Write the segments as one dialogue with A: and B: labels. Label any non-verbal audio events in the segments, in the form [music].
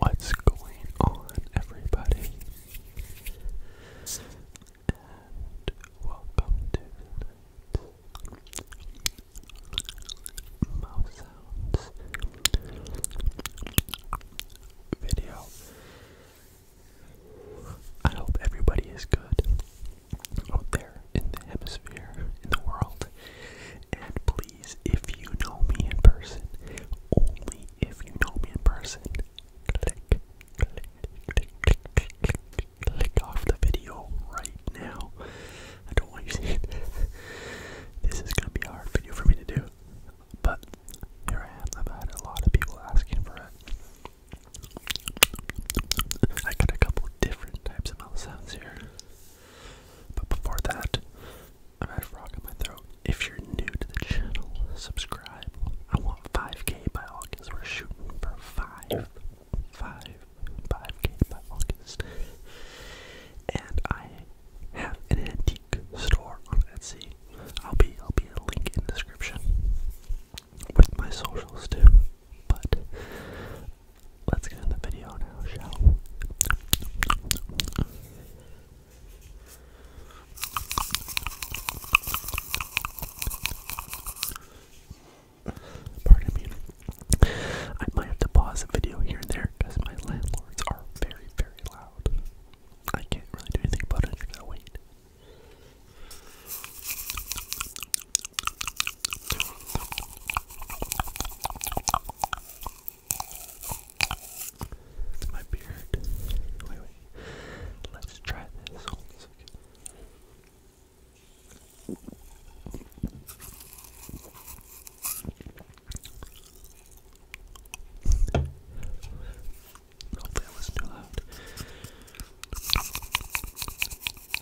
A: What's going on, everybody? And welcome to Mouse Sounds video. I hope everybody is good out there in the hemisphere, in the world, and please if you know me in person, only if you know me in person, click, click, click, click, click, click, click off the video right now. I don't want you seeing
B: this is gonna be a hard video for me to do, but here I am. I've had a lot of people asking for it. I got a couple different types of mouth sounds here. But before that, I've had a frog in my throat. If you're new to the channel, subscribe. I want 5k by August. We're shooting for 5. 5. 5k by August.
C: And I have an antique store on Etsy. I'll be I'll be a link in the description with my socials too. But let's get in the video now, shall we? Pardon me. I might have to pause the video here and there because my landlords are very, very loud. I can't really do anything about it. I gotta wait. It's my beard. Wait, wait. Let's try this. Hold on a second. Hopefully I wasn't too loud.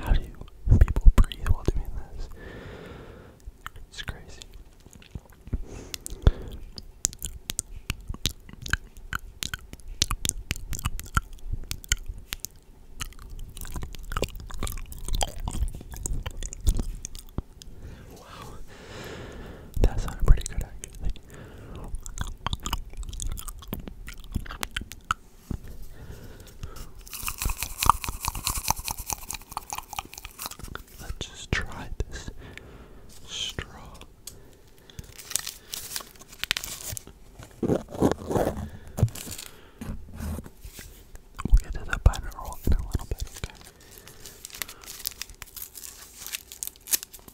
C: How do you, people breathe while doing this? It's crazy.
D: Wow. That sounded pretty good actually. Let's just try this straw. We'll get to the butter roll in a little bit, okay?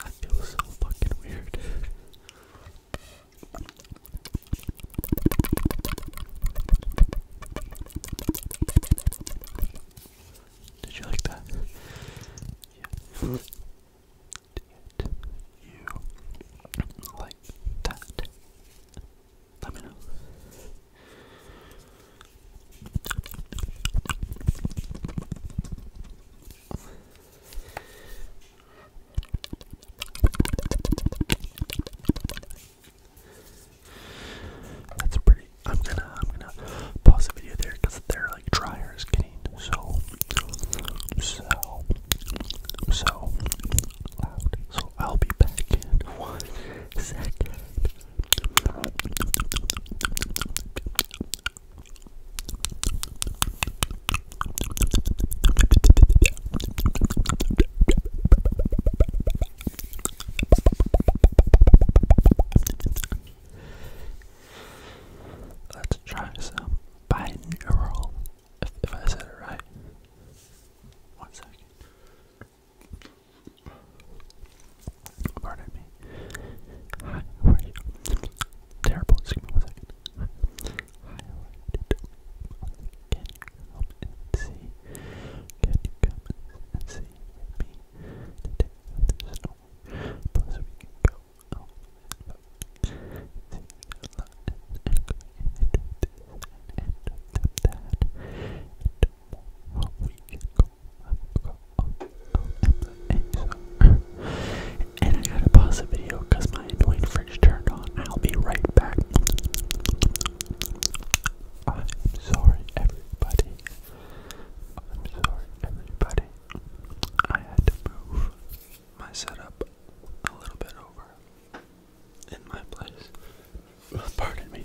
D: I feel so fucking weird. Did you like that?
E: Yeah. Did you like that? That's pretty. I'm gonna. I'm gonna pause the video there because they're like dryers getting so
F: so so loud. So I'll be back in one second. Let's try some binaural if, I said it right. One second. Pardon me. Hi, how are you? Terrible. Excuse one second. Hi, how are you? Can you come and see? Can you come and see me today? There's no. Plus, we can go and I gotta pause the video because my annoying fridge turned on. I'll be right back. I'm sorry, everybody. I'm sorry, everybody. I had to move my setup a little bit over in my place. [laughs] Pardon me.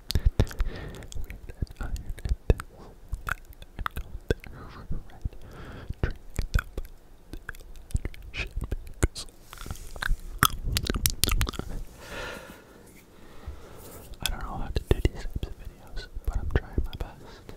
F: I don't know how to do these types of videos, but I'm trying my best.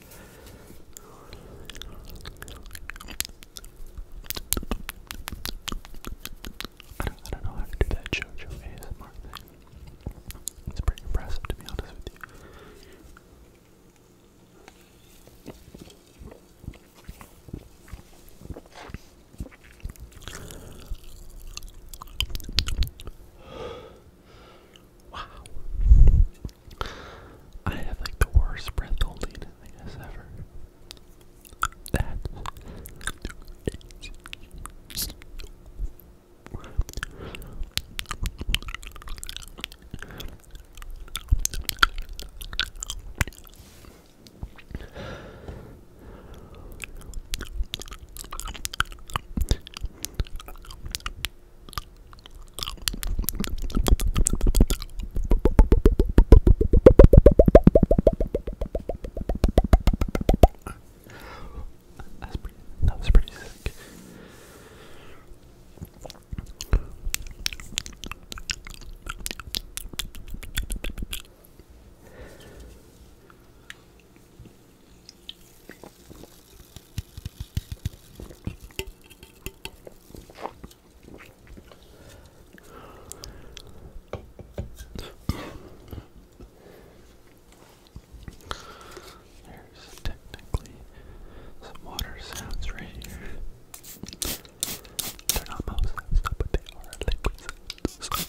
F: I don't, know how to do that JoJo ASMR thing. It's pretty impressive, to be honest with you. Wow. I have like the worst breath holding I guess ever. That that's pretty, that was pretty sick. There's technically some water sounds right here. They're not mouse sounds, but they are liquid sounds.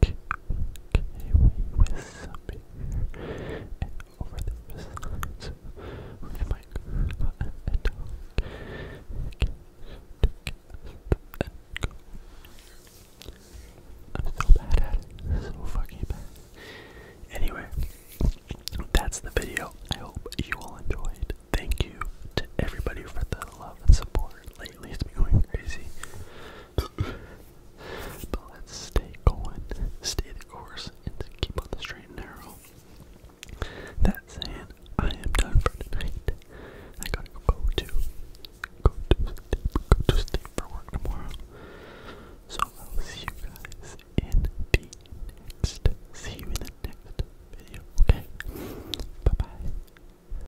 F: Okay, Anyway, that's the video. I hope you all enjoyed. Thank you to everybody for the love and support. Lately it's been going crazy but let's stay going, stay the course, and keep on the straight and narrow. That saying, I am done for tonight. I gotta go to go to go to sleep for work tomorrow. So I'll see you guys in the next. See you in the next video. Okay. Bye bye.